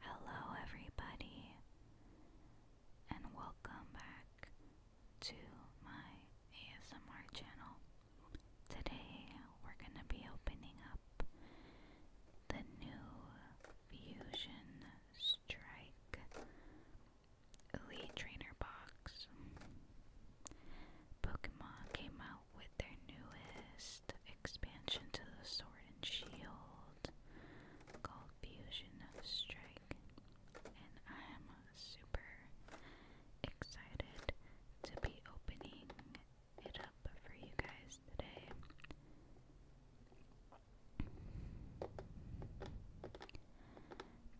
Hello, everybody, and welcome back to my ASMR channel. Today, we're going to be opening up the new Fusion Strike Elite Trainer Box. Pokemon came out with their newest expansion to the store and Shield, called Fusion Strike, and I'm super excited to be opening it up for you guys today.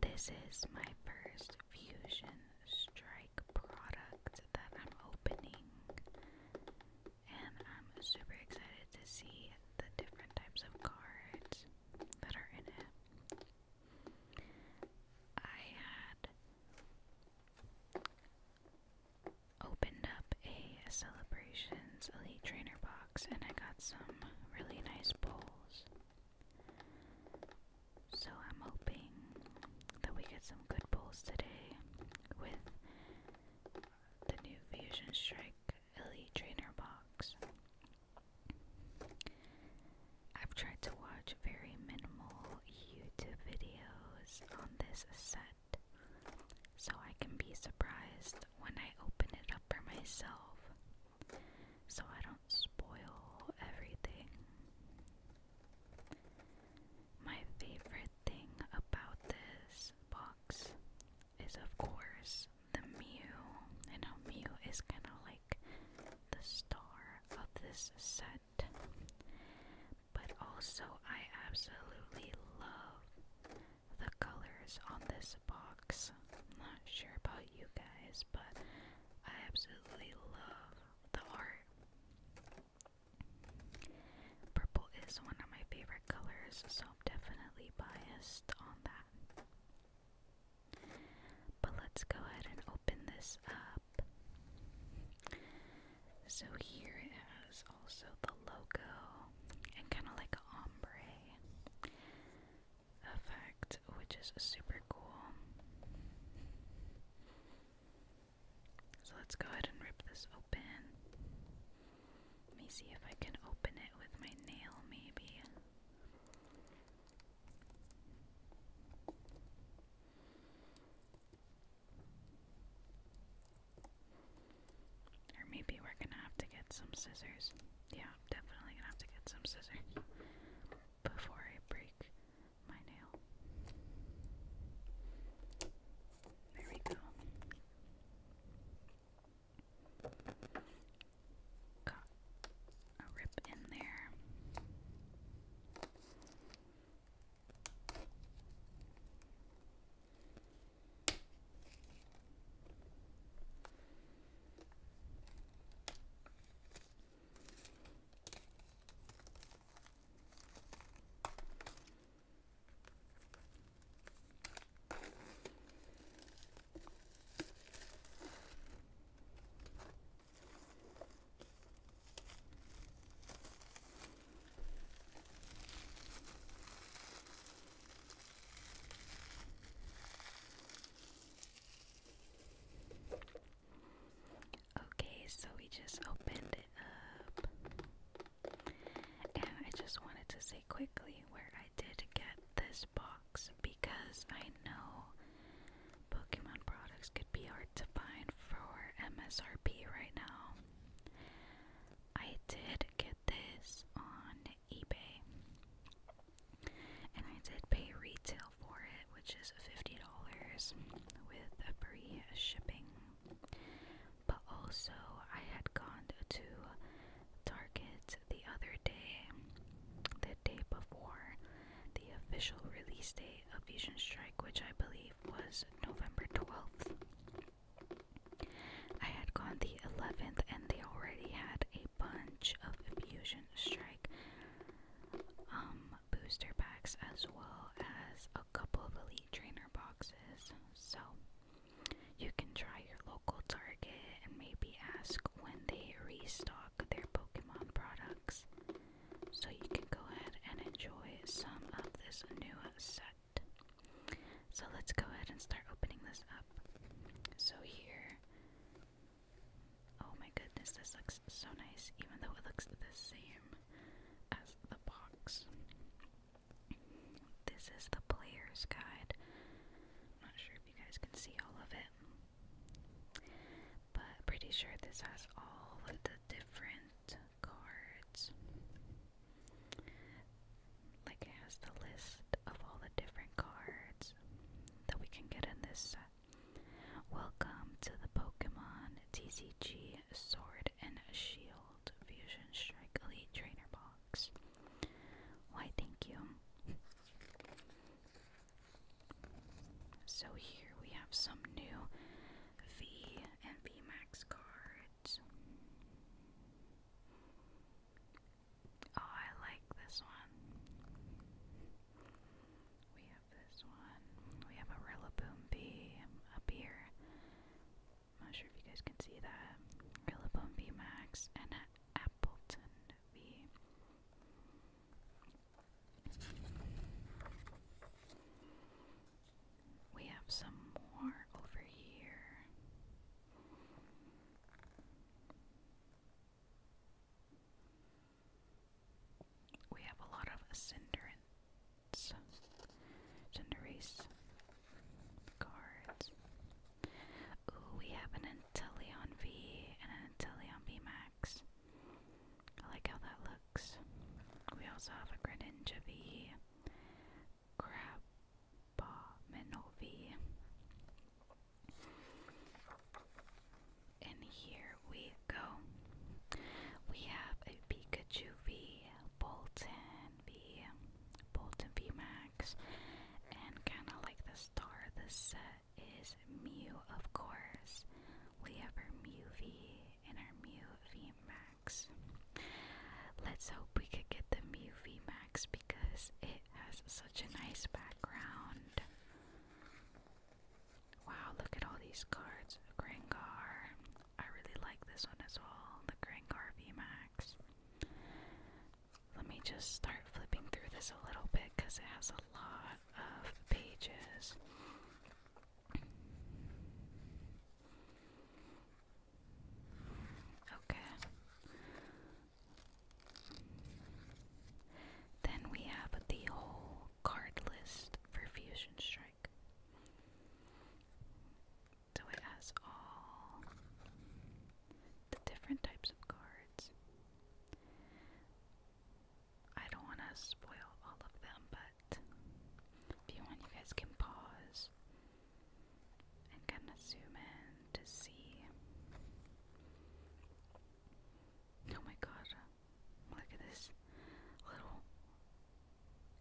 This is my first Fusion Strike product that I'm opening and I'm super excited to see the different types of cards that are in it. I had opened up a Celebrations Elite Trainer box and I got some really nice bowls. So I'm hoping that we get some good bowls today with the new Fusion Strike Elite Trainer box. I've tried to watch very minimal YouTube videos on this set, so I can be surprised when I open it up for myself, so I don't spoil everything. My favorite thing about this box is, of course, the Mew, and a Mew is kind of like the star of this set. But also, I absolutely love the colors on this box. I'm not sure about you guys, but I absolutely love the art. Purple is one of my favorite colors, so I'm definitely biased on that. But let's go ahead and open this up. So here it has also the logo and kind of like a ombre effect, which is super cool. So let's go ahead and rip this open. Let me see if I can open it with my nail, maybe. Or maybe we're gonna have to get some scissors. Yeah, definitely gonna have to get some scissors before I break my nail. There we go. Got a rip in there. Okay, so we just opened it up. And I just wanted to say quickly where I did get this box because I know Pokemon products could be hard to find for MSRP right now. I did get this on eBay and I did pay retail for it, which is $50 with free shipping. But also, I had gone to Target the other day, the day before the official release date of Fusion Strike, which I believe was November 12th. I had gone the 11th and they already had a bunch of Fusion Strike um, booster packs as well as a couple of Elite Trainer boxes. So you can try your local Target and maybe ask when they restock their Pokemon products. So you can go ahead and enjoy some of this new set. So let's go ahead and start opening this up. So here. Oh my goodness, this looks so nice, even though it looks the same as the box. This is the player's guide. I'm not sure if you guys can see all of it. But pretty sure this has all of the different cards. Like it has the list of all the different cards that we can get in this set. Welcome to the Pokemon TCG Sword and Shield Fusion Strike Elite Trainer Ball box. Why, thank you. so, here we have some new V and VMAX cards. Oh, I like this one. We have this one. We have a Rillaboom V up here. I'm not sure if you guys can see that. Rillaboom V Max and Appleton V. We have some more over here. We have a lot of Cinderace. Cinderace cards. Ooh, we have an Inteleon V and an Inteleon V Max. I like how that looks. We also have a Greninja V, Crabominal V. And here we go. We have a Pikachu V, Bolton, be Bolton VMAX, and kind of like the star of this set is Mew, of course. We have our Mew V and our Mew VMAX. Let's hope we could get the Mew VMAX because it has such a nice background. Wow, look at all these cards. Grengar. I really like this one as well, the Grengar VMAX. Let me just start flipping through this a little bit because it has a lot of pages. Okay. Then we have the whole card list for Fusion Strike. So it has all the different types of cards. I don't want to spoil all of them, but if you want, you guys can pause and kind of zoom in to see. Oh my god, look at this little,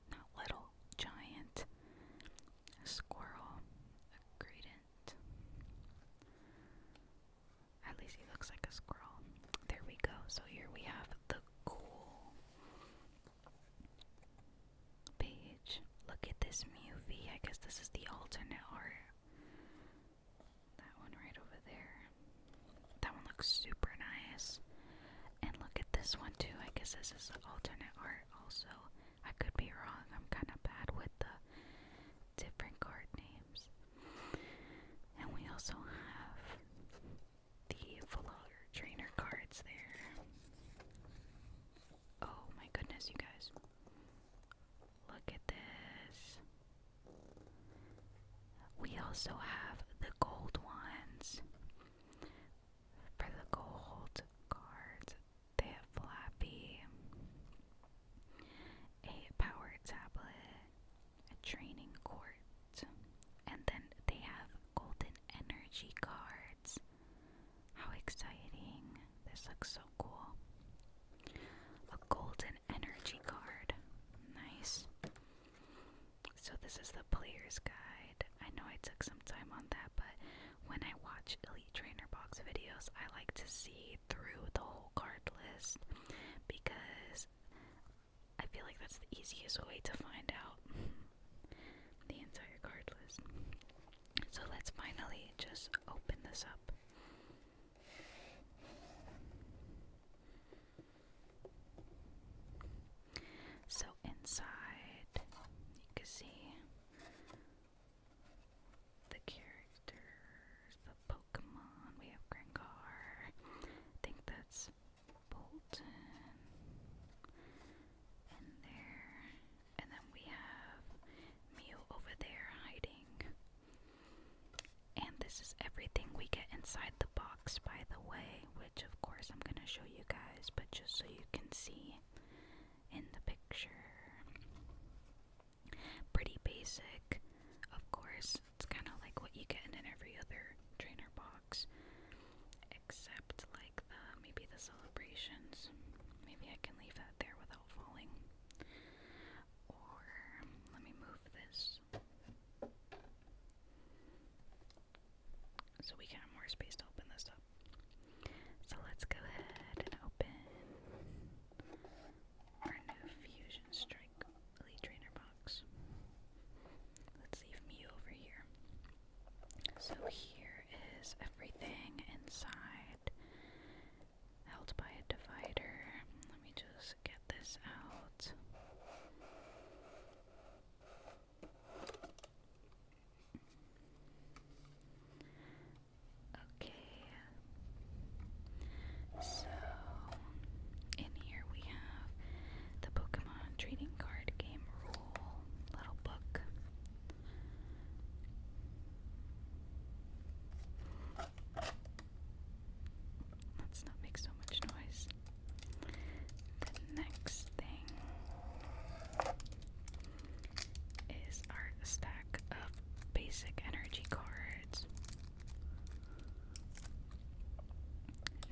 not little, giant squirrel, gradient. At least he looks like a squirrel. There we go. So here we have the cool page. Look at this movie. I guess this is the alternate art. That one right over there. That one looks super nice. And look at this one too. I guess this is alternate art also. I could be wrong. I'm kind of bad with the different card names. And we also have the Flower Trainer cards there. Oh my goodness, you guys. Look at this. We also have the gold ones. For the gold cards, they have Flappy, a power tablet, a training court, and then they have golden energy cards. How exciting! This looks so cool. A golden energy card. Nice. So, this is the player's guide. I know I took some time on that, but when I watch Elite Trainer Box videos, I like to see through the whole card list because I feel like that's the easiest way to find out the entire card list. So let's finally just open this up. So inside, you can see the characters, the Pokemon. We have Grengar. I think that's Bolton in there. And then we have Mew over there hiding. And this is everything we get inside the box, by the way, which of course I'm going to show you guys, but just so you can see in the picture. Pretty basic, of course. It's kind of like what you get in every other trainer box, except like the maybe the celebrations. Maybe I can leave that there without falling. Or let me move this so we can more space to open this up. So let's go ahead and open our new Fusion Strike Elite Trainer box. Let's leave me over here. So here is everything inside, held by a divider. Let me just get this out. Okay. So, in here we have the Pokemon Trading Card Game Rule little book. Let's not make so much noise. The next thing is our stack of basic energy cards.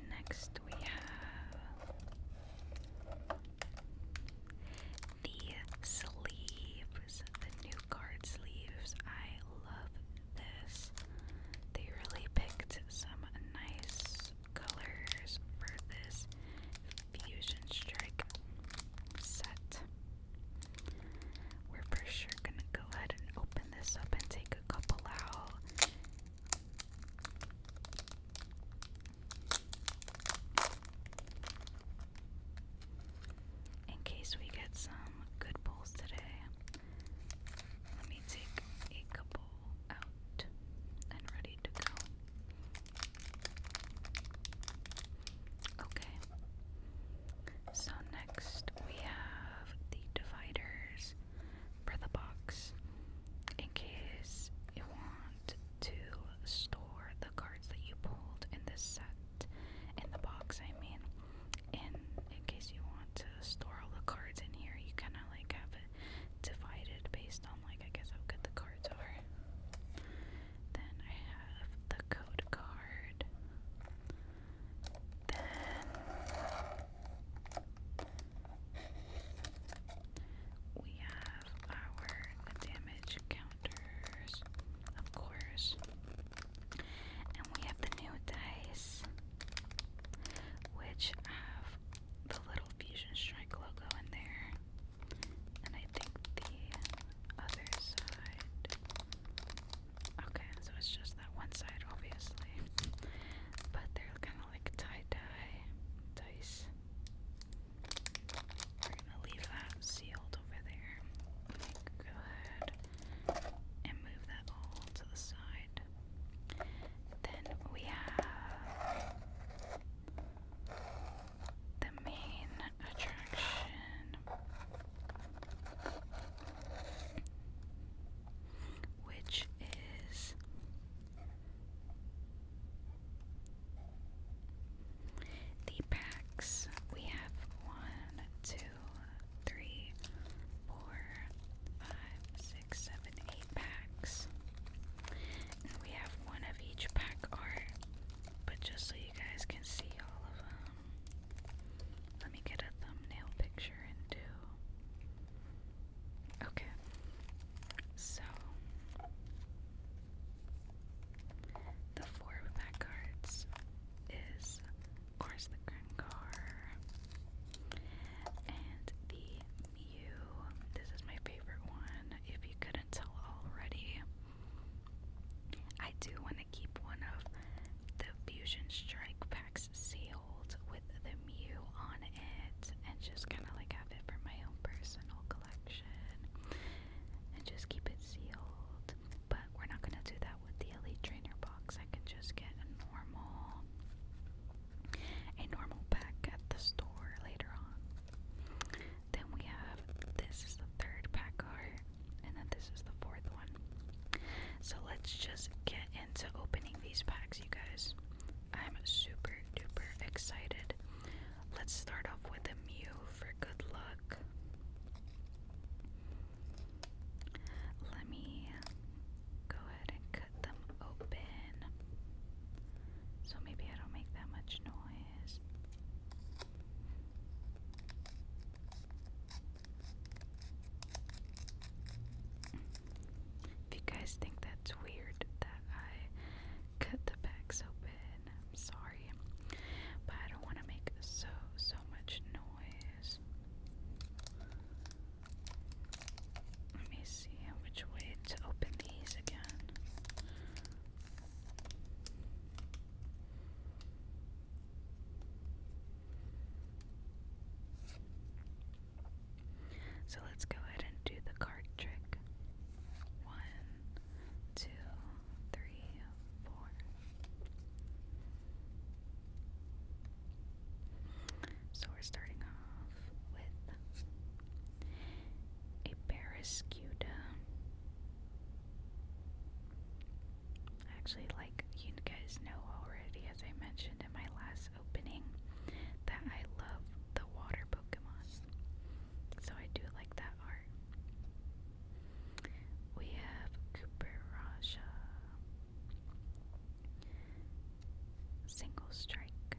Next, we have the sleeves, the new card sleeves. I love this. They really picked some nice colors for this fusion strike set. We're for sure gonna go ahead and open this up and take a couple out. In case we get some good pulls today, let me take a couple out and ready to go. Okay. So next we have the dividers for the box in case you want to store the cards that you pulled in this set in the box I mean in in case you want to store all the cards in here you kinda like have it divided based on like I guess how good the cards are then I have the code card. Then we have our damage counters, of course. And we have the new dice, which have the little Fusion Strike logo in there. And I think the other side. Okay, so it's just that one side, obviously. But they're kind of like tie dye dice. We're gonna leave that sealed over there. Go and move that all to the side. Then we have the main attraction, which is the packs. We have one, two, three, four, five, six, seven, eight packs. We have one of each pack art, but just so you guys can see all of them, let me get a thumbnail picture and Okay, so the four pack cards is, of course, the Grengar and the Mew. This is my favorite one. If you couldn't tell already, I do want to keep one of the Fusion Strike packs sealed with the Mew on it and just kind of like have it for my own personal collection and just keep it sealed. But we're not going to do that with the Elite Trainer box. I can just get a normal a normal pack at the store later on. Then we have this is the third pack card, and then this is the fourth one. So let's just get into opening these packs, you guys. I'm super duper excited. Let's start off with a Mew for good luck. Let me go ahead and cut them open so maybe I don't make that much noise. If you guys think that's weird that I cut the packs open, I'm sorry. But I don't want to make so, so much noise. Let me see which way to open these again. So let's go ahead and do the card trick. One, two, three, four. So we're starting off with a Barrascuda, Actually, like you guys know already, as I mentioned in my last opening, that I love the water Pokemon. So I do like that art. We have Cooperaja. Single Strike.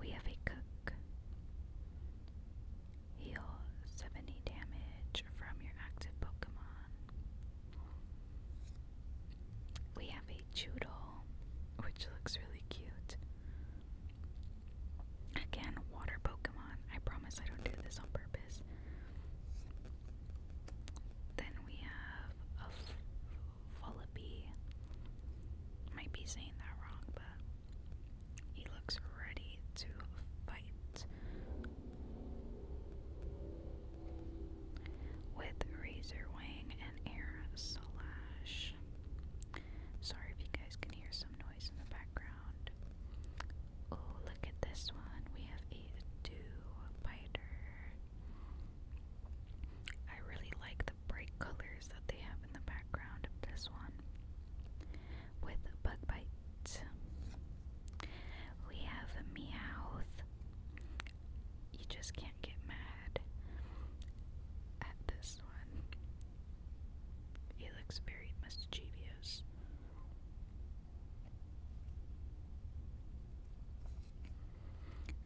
We have a cook. Heal 70 damage from your active Pokemon. We have a Choodle, which looks really cute. Again, water Pokemon. I promise I don't do this on purpose. Then we have a Fullaby. Might be saying that wrong, but he looks ready to fight. With Razor and Air Slash. Sorry if you guys can hear some noise in the background. Oh, look at this one. We have a dew biter. I really like bright colors that they have in the background this one with bug bites. We have Meowth. You just can't get mad at this one. He looks very mischievous.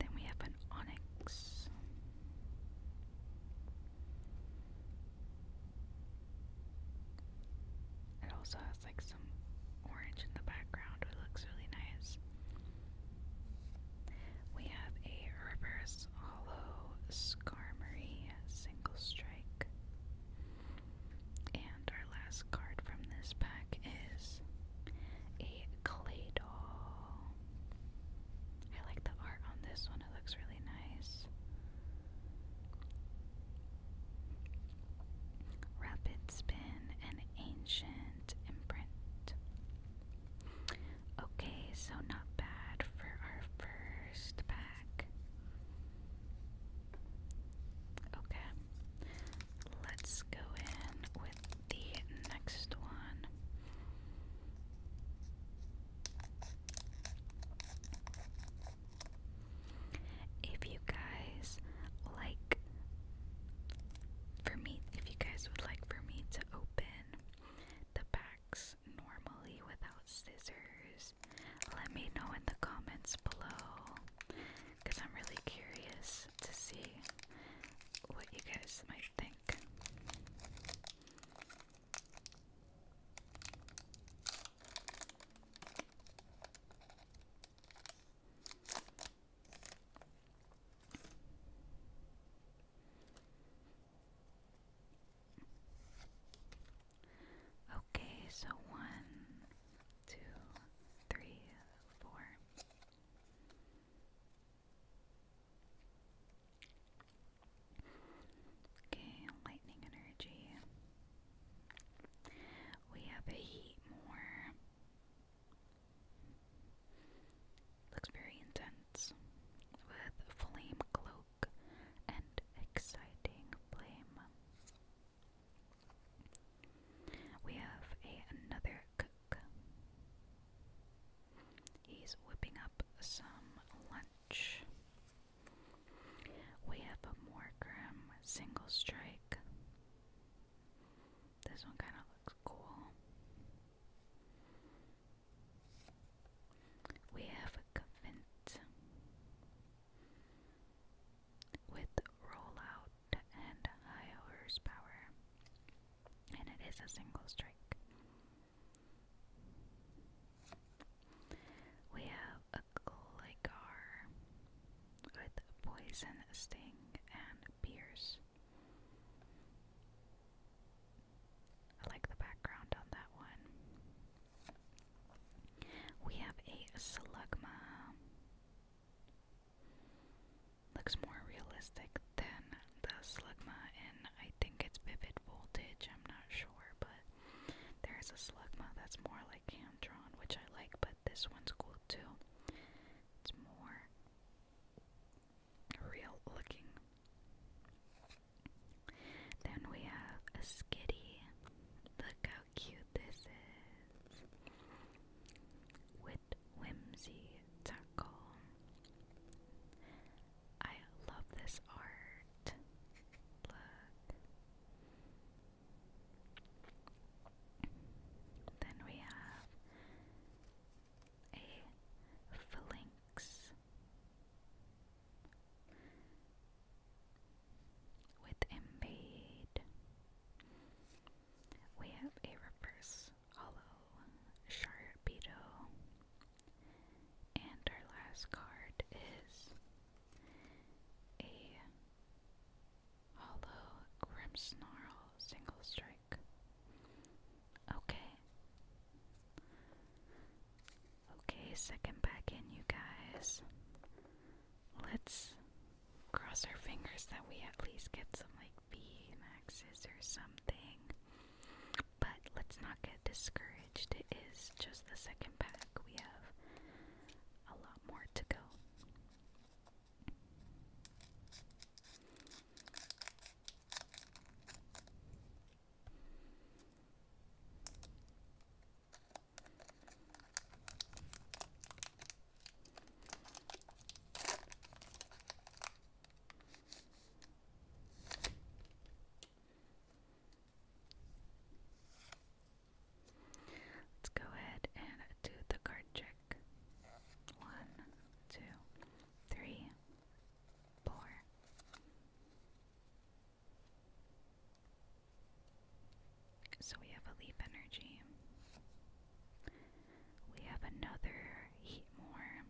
Then we have an onyx. It also has like some orange in the background. It looks really nice. We have a reverse hollow Skarmory single strike. And our last card from this pack is a Claydol. I like the art on this one, it looks really nice. Rapid spin and ancient imprint. Okay, so not bad for our first pack. Okay, let's go in with the next one. If you guys like for me, if you guys would like for me to open the packs normally without scissors, let me know in the comments below because I'm really curious to see what you guys might think. Okay, so one, two, three, four. Okay, lightning energy. We have a heat more. Looks very intense. With flame cloak and exciting flame. We have a, another cook. He's whipping up some lunch. We have a Morgrem single strike. This one kind of looks cool. We have a Cavint with rollout and high horsepower, and it is a single strike. We have a Gligar with Poison, Sting, and Pierce. I like the background on that one. We have a Slugma. Looks more realistic than the Slugma in I think it's vivid voltage, I'm not sure, but there's a Slugma that's more like Camtron, which I like, but this one's cool too. It's more real looking. Then we have a Skitty. Look how cute this is. With Whimsy Tackle. I love this art. Look. Then we have a phalanx with Embade. We have a reverse hollow Sharpedo and our last card is a hollow grim snarl single strike. Okay. Okay, second back in you guys. Let's cross our fingers that we at least get some like B maxes or something but let's not get discouraged. It is just the second pack. We have a lot more to go. Let's go ahead and do the card trick. One, two, three, four. So we have a leaf energy. We have another heat more.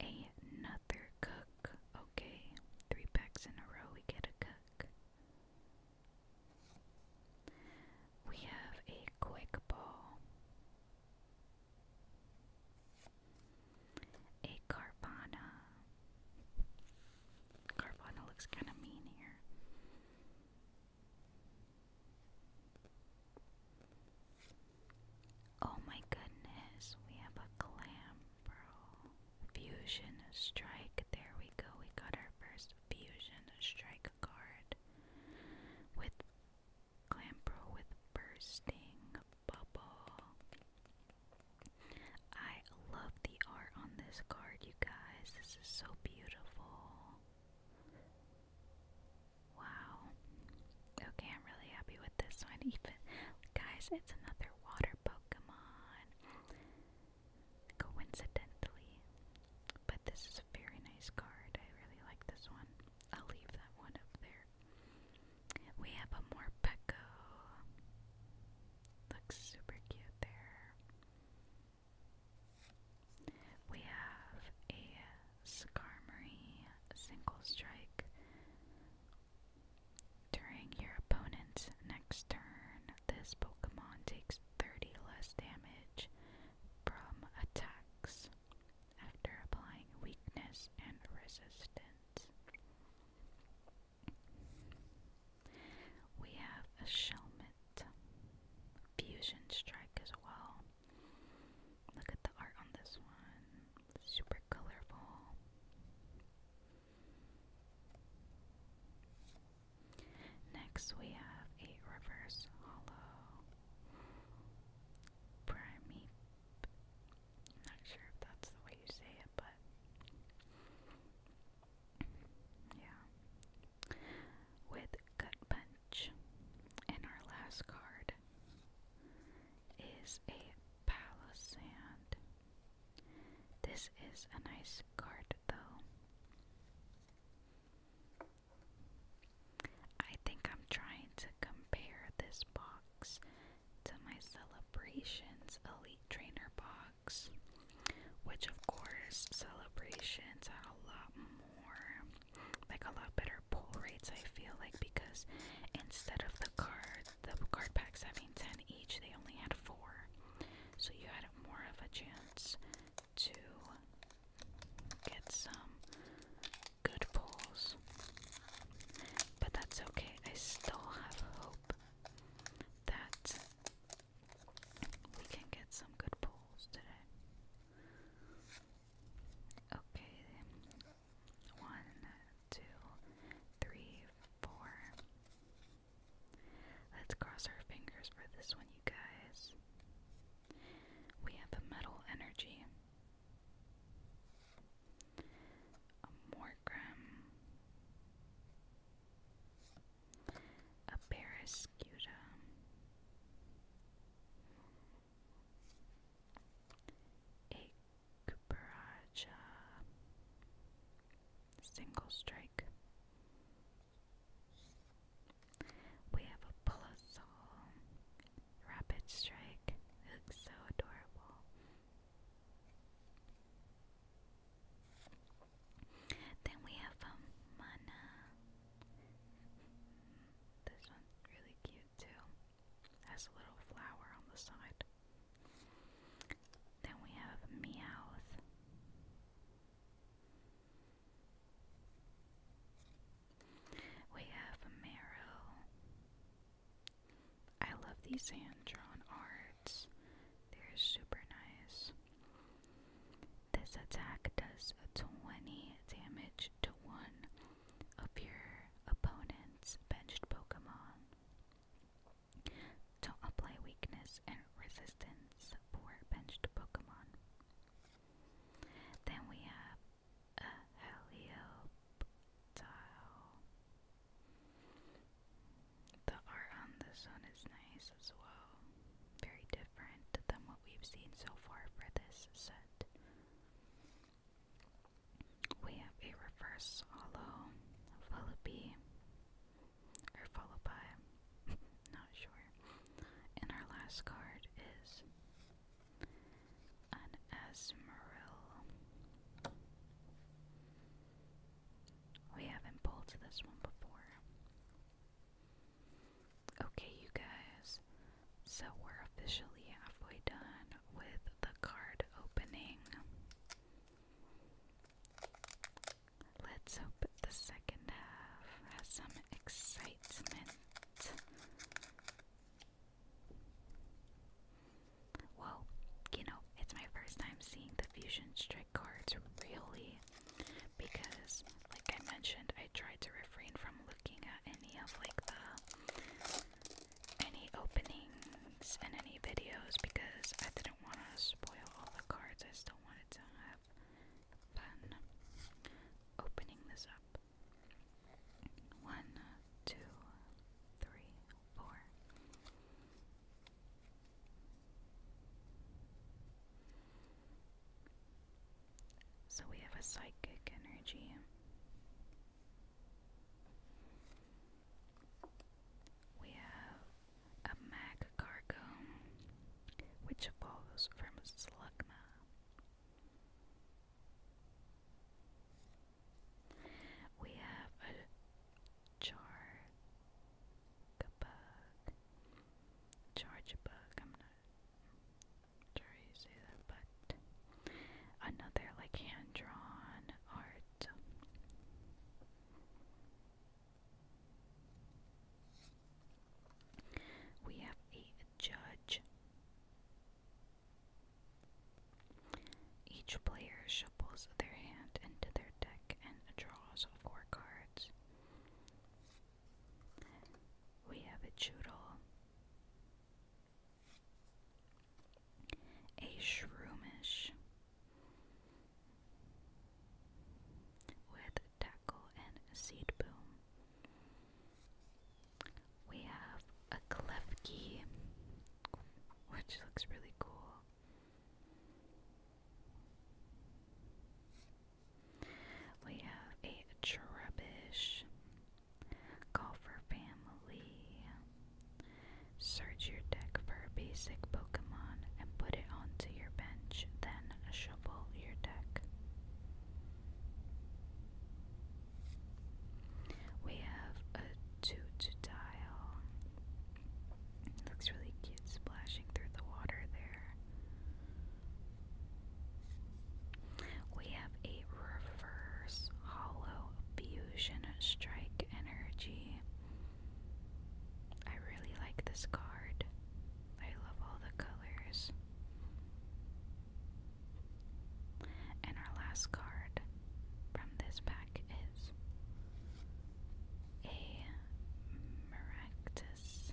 Another cook. Okay, three packs in a row, we get a cook. We have a quick ball, a Carvana. Carvana looks kind of mean here. Oh my goodness, we have a clam, bro. Fusion strike. There we go. We got our first fusion strike card with Clam Pro with bursting bubble. I love the art on this card, you guys. This is so beautiful. Wow. Okay, I'm really happy with this one. guys, it's another water Pokemon. Coincidentally. But this is a very nice card. I really like this one. I'll leave that one up there. We have a Morpeko. Looks super cute there. We have a Skarmory single strike. During your opponent's next turn, this Pokemon takes 30 less damage from attacks after applying weakness and resistance. We have a Shelmet. Fusion Strike as well. Look at the art on this one. Super colorful. Next, we have a reverse hollow prime. not sure if that's the way you say it, but yeah. With gut punch, and our last card is a palisade. This is a nice card, though. I think I'm trying to compare this box to my Celebrations Elite Trainer box, which, of course, Celebrations had a lot more, like a lot better higher pull rates, I feel like, because instead of the card, the card packs having 10 each, they only had 4. So you had more of a chance to get some good pulls. But that's okay, I still have hope that we can get some good pulls today. Okay, one, two, three, four. Let's cross our fingers for this one, you guys. We have a metal energy, a Morgrim, a Parascuta, Ikbaraja single strike. We have a Bulbasaur, rapid strike. looks so adorable. Then we have a um, mana. This one's really cute too. Has a little flower on the side. Then we have Meowth. We have Marrow. I love these hand drawn arts. They're super nice. This attack does 20 damage to one of your opponent's benched Pokemon. do apply weakness and resistance for benched Pokemon. Then we have a Helioptile. The art on this one is nice as well. Very different than what we've seen so far for this set. We have a reverse hollow, followed by, or followed by, not sure. And our last card is an Esmeril. We haven't pulled this one before. Okay, you guys, so we're officially halfway done with the card opening. Let's hope the second half has some excitement. Whoa, you know, it's my first time seeing the Fusion Strike cards, really. Because, like I mentioned, I tried to refrain from looking at any of like the any openings and any videos because I didn't want to spoil all the cards. I still wanted to have opening this up. One, two, three, four. So we have a psychic energy. We have a mag which evolves from Slugma. We have a char bug. Charge bug, I'm not sure you say that, but another like hand drawn art. We have a judge. Each player shuffles their hand into their deck and draws four cards. We have a Choodle, a shroomish with tackle and seed boom. We have a klefki, which looks really cool. We have a cherubish Call for family. Search your deck for a basic Pokemon and put it onto your bench, then shuffle your deck. We have a Totodile. Looks really cute splashing through the water there. We have a reverse hollow Fusion Strike Energy. I really like this card. I love all the colors. And our last card from this pack is a Maractus.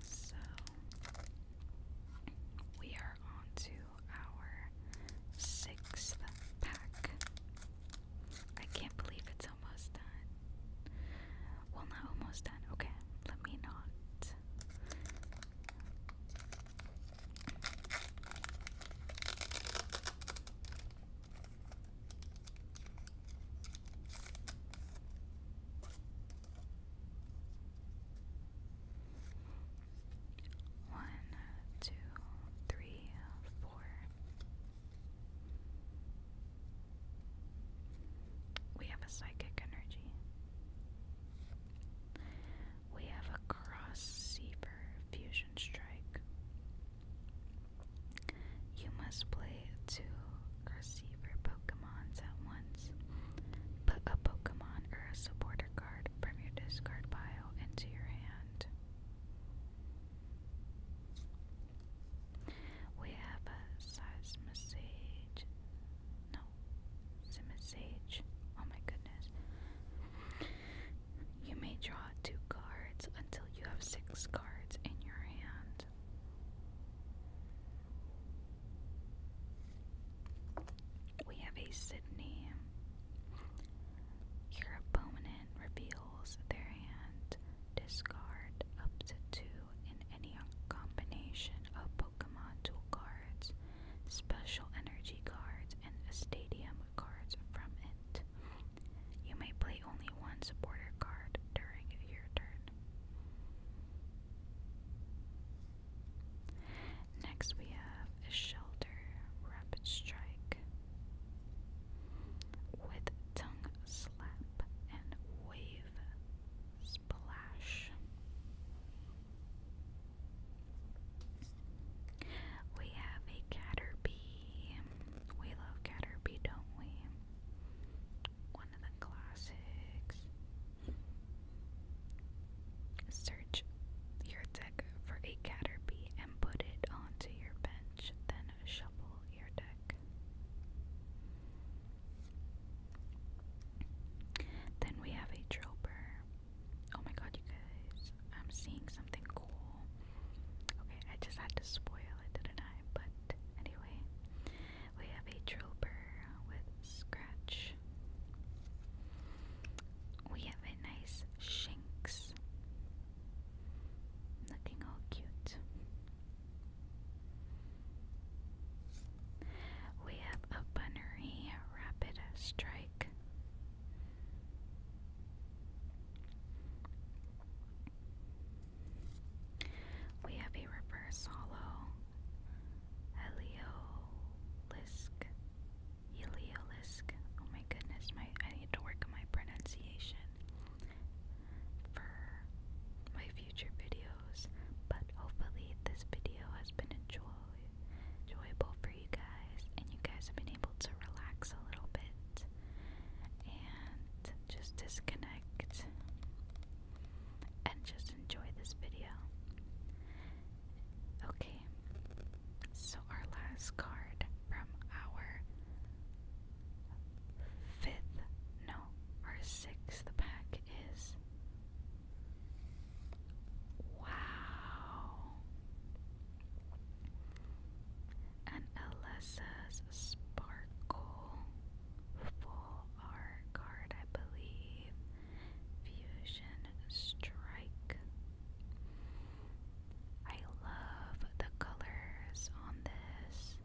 So we are on our sixth pack. I can't believe it's almost done. Well, not almost done. Okay, let me not. One, two, three, four. We have a psychic energy. We have a cross seaver fusion strike. You must play two receiver Pokemons at once. Put a Pokemon or a supporter card from your discard pile into your hand. We have a Seismisage. No, Simisage. Oh my goodness. You may draw two cards until you have six cards in your hand. We have a Sydney. Your opponent reveals their hand. Discard up to two in any combination of Pokemon tool cards, special energy cards, and a stadium cards from it. You may play only one supporter card during your turn. Next, we have a Shelter Rapid Strike with Tongue Slap and Wave Splash. We have a Caterpie. We love Caterpie, don't we? One of the classics. Search your deck for a Caterpie and put it onto your bench, then shuffle your deck. Then we have a Droper. Oh my god, you guys, I'm seeing something cool. Okay, I just had to spoil didn't I? But Anyway, we have a Drober with Scratch. We have a nice Shinx. Looking all cute. We have a Bunnery Rapid Strike. We have a reverse hollow Heliolisk. Heliolisk. Oh my goodness, my I need to work on my pronunciation for my future videos. But hopefully this video has been enjoy enjoyable for you guys and you guys have been able to relax a little bit. And just disconnect, and just enjoy this video. Okay, so our last card from our fifth, no, our sixth pack is. Wow. And Alessa's Sparkle, Full Art card, I believe. Fusion Strike. I love the colors on this.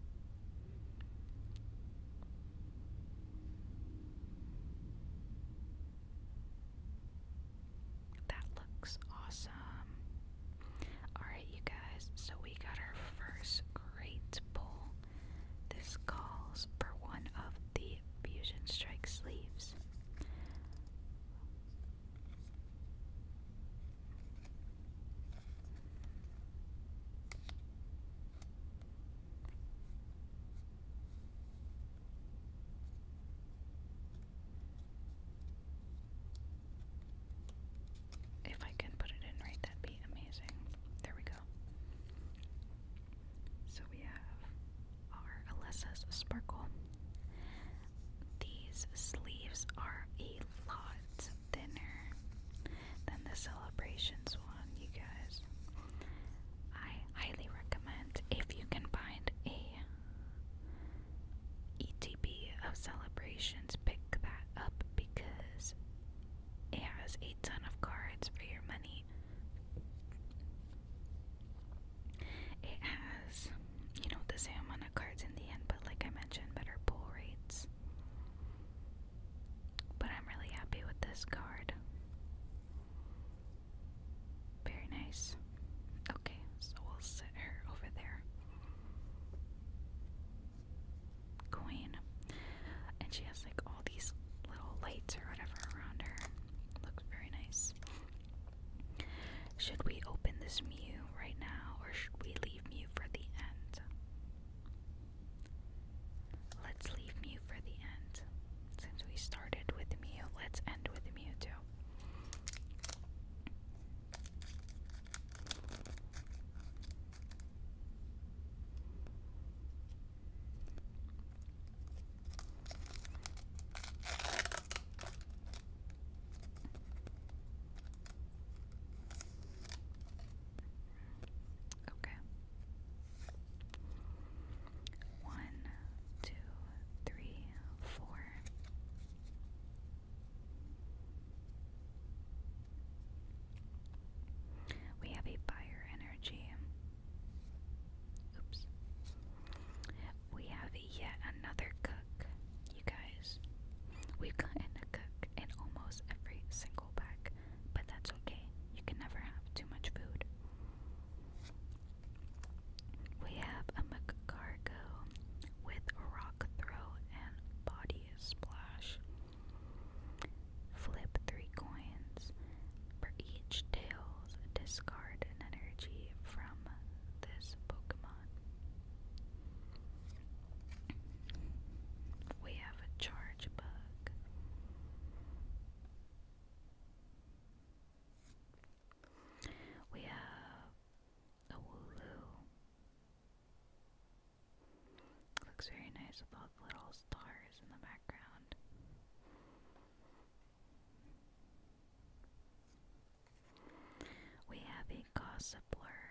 That looks awesome. Alright, you guys, so we got our first great pull. This calls for one of the Fusion Strike sleeves. If I can put it in right, that'd be amazing. There we go. So we have our Alessa's Sparkle. These sleeves are a lot thinner than the Celebrations one, you guys. I highly recommend if you can find a ETB of Celebrations, pick that up because it has a ton of cards for your money. It has, you know, the same amount of cards in the end, but like I mentioned, better pull rates. But I'm really happy with this card. Very nice. Okay, so we'll set her over there queen. And she has like all these little lights or whatever around her. Looks very nice. Should we open this Mew right now or should we leave Mew for the end? Let's leave Mew for the end. Since we started with Mew, let's end with Mew too. Okay. One, two, three, four. We have a fire energy. Oops. We have yet another cook, you guys. We've gotten a cook in almost every single pack, but that's okay. You can never have too much food. We have a McCargo with rock throw and body splash. Flip three coins. For each tails, discard an energy from this Pokemon. We have a charge bug. We have a Wooloo. Looks very nice with all the little stars in the background. We have a gossipler.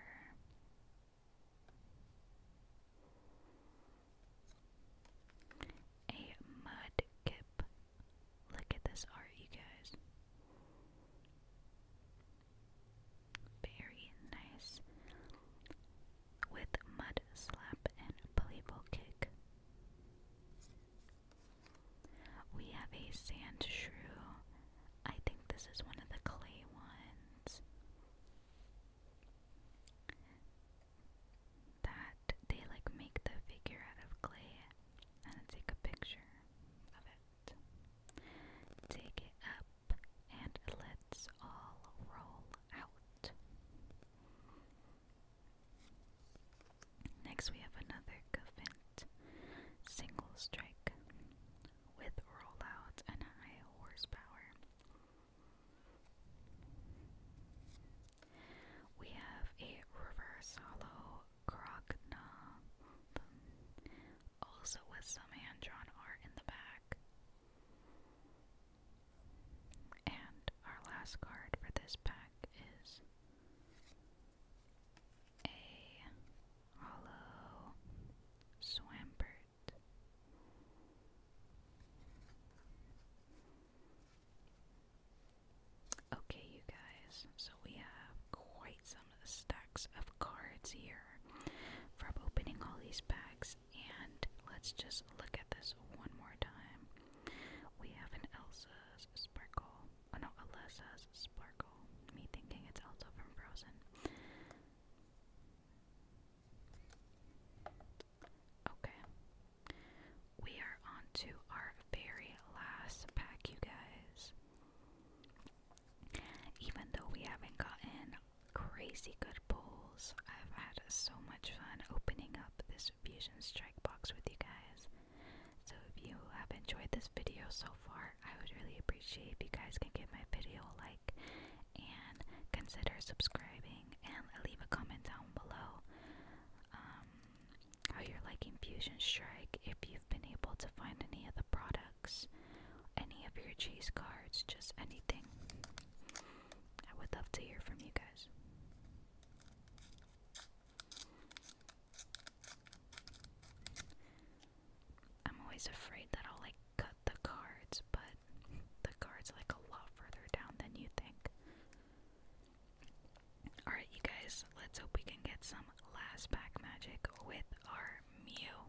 A mudkip. Look at this art, you guys. Very nice. With mud slap and playful kick. We have a sand shrew. I think this is one of the clay ones. That they like make the figure out of clay and take a picture of it. Take it and let's all roll out. Next, we have another Covent single strike with rollout and high horsepower. We have a reverse hollow Krogna, also with some hand drawn art in the back. And our last card for this pack is a hollow Swampert. Okay, you guys, so we have quite some stacks of cards here from opening all these bags. And let's just look at this one more time. We have an Elsa's Sparkle. Oh no, Elsa's Sparkle. Me thinking it's Elsa from Frozen. Okay. We are on to our very last pack, you guys. Even though we haven't gotten Crazy good pulls. I've had so much fun opening up this Fusion Strike box with you guys. So if you have enjoyed this video so far, I would really appreciate if you guys can give my video a like and consider subscribing and leave a comment down below um, how you're liking Fusion Strike if you've been able to find any of the products any of your cheese cards, just anything. I would love to hear from you guys. I'm always afraid that I'll like cut the cards, but the cards like a lot further down than you think. Alright, you guys, let's hope we can get some last pack magic with our Mew.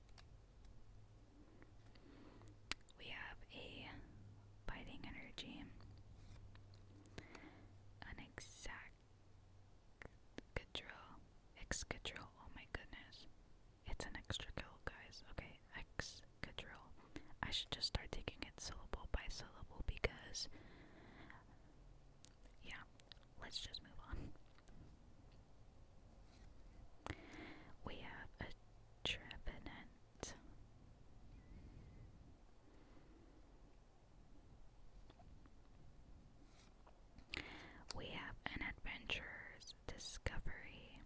We have a biting energy, an exact control, X control. Oh my goodness, it's an extra kill, guys. Okay, X control. I should just start taking it syllable by syllable because, yeah, let's just move on. We have a trevenant. We have an adventurer's discovery.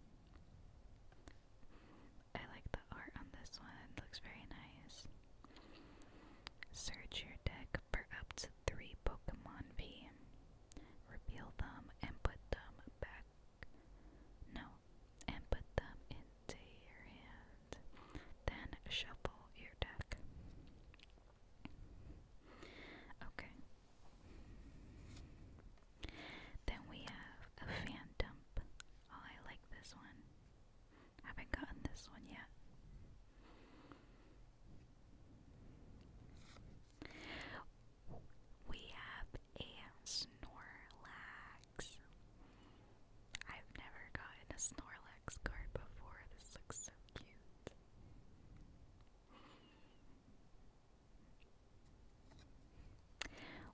I like the art on this one, looks very nice. Search your deck for up to three Pokemon V. Reveal them and put them back no, and put them into your hand. Then shuffle your deck. Okay. Then we have a fan dump. Oh, I like this one. haven't gotten this one yet. We have a Snorlax. I've never gotten a Snorlax card before. This looks so cute.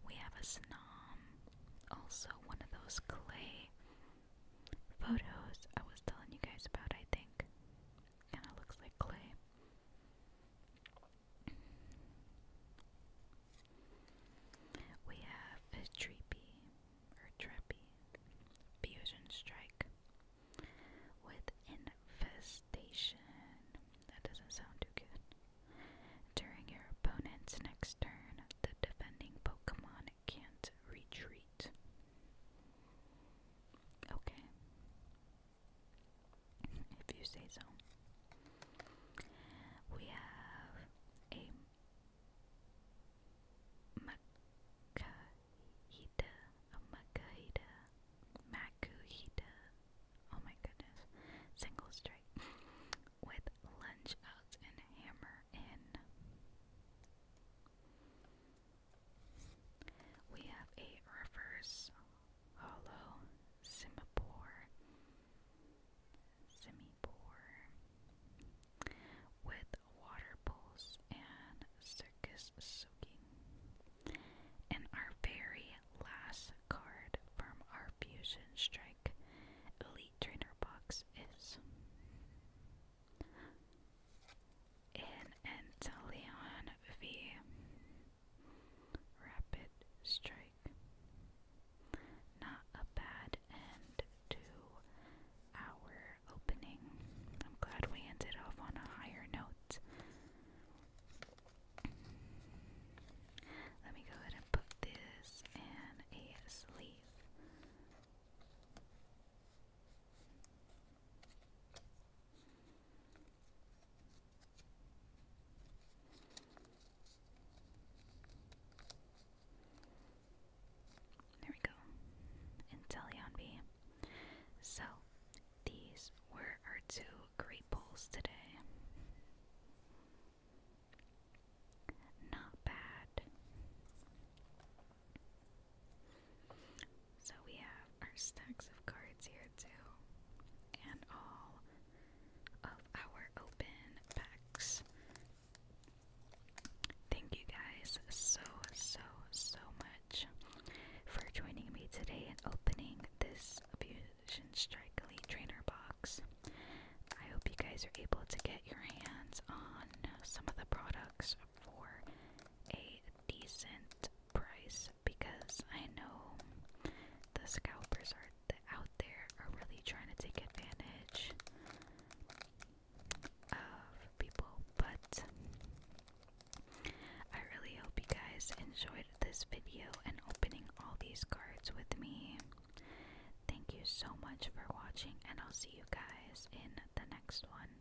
We have a Snom, also one of those clay photos I was telling you guys about, I think. Kinda looks like clay. We have a treepy or trappy fusion strike with infestation. That doesn't sound too good. During your opponent's next turn, the defending Pokemon can't retreat. Okay if you say so. We have a Makahita, a Makahita, Makuhita, oh my goodness, single strike, with lunge outs and hammer in. We have a reverse hollow, simipore, simipore, with water and circus soaking. And our very last card from our Fusion Strike Elite Trainer box is an Anteleon V. Rapid strike. Not a bad end to our opening. I'm glad we ended off on a higher note. Let me go ahead and put this in a sleeve. There we go. Inteleon B. So, these were our two great polls today. Not bad. So we have our stacks of cards here too, and all of our open packs. Thank you guys so, so, so much for joining me today and opening this Fusion Strike Elite Trainer box. I hope you guys are able to get your hands on some of the products for a decent price because I know the scalpers are out there are really trying to take advantage of people. But I really hope you guys enjoyed this video and opening all these cards with me. Thank you so much for watching, and I'll see you guys in the next one.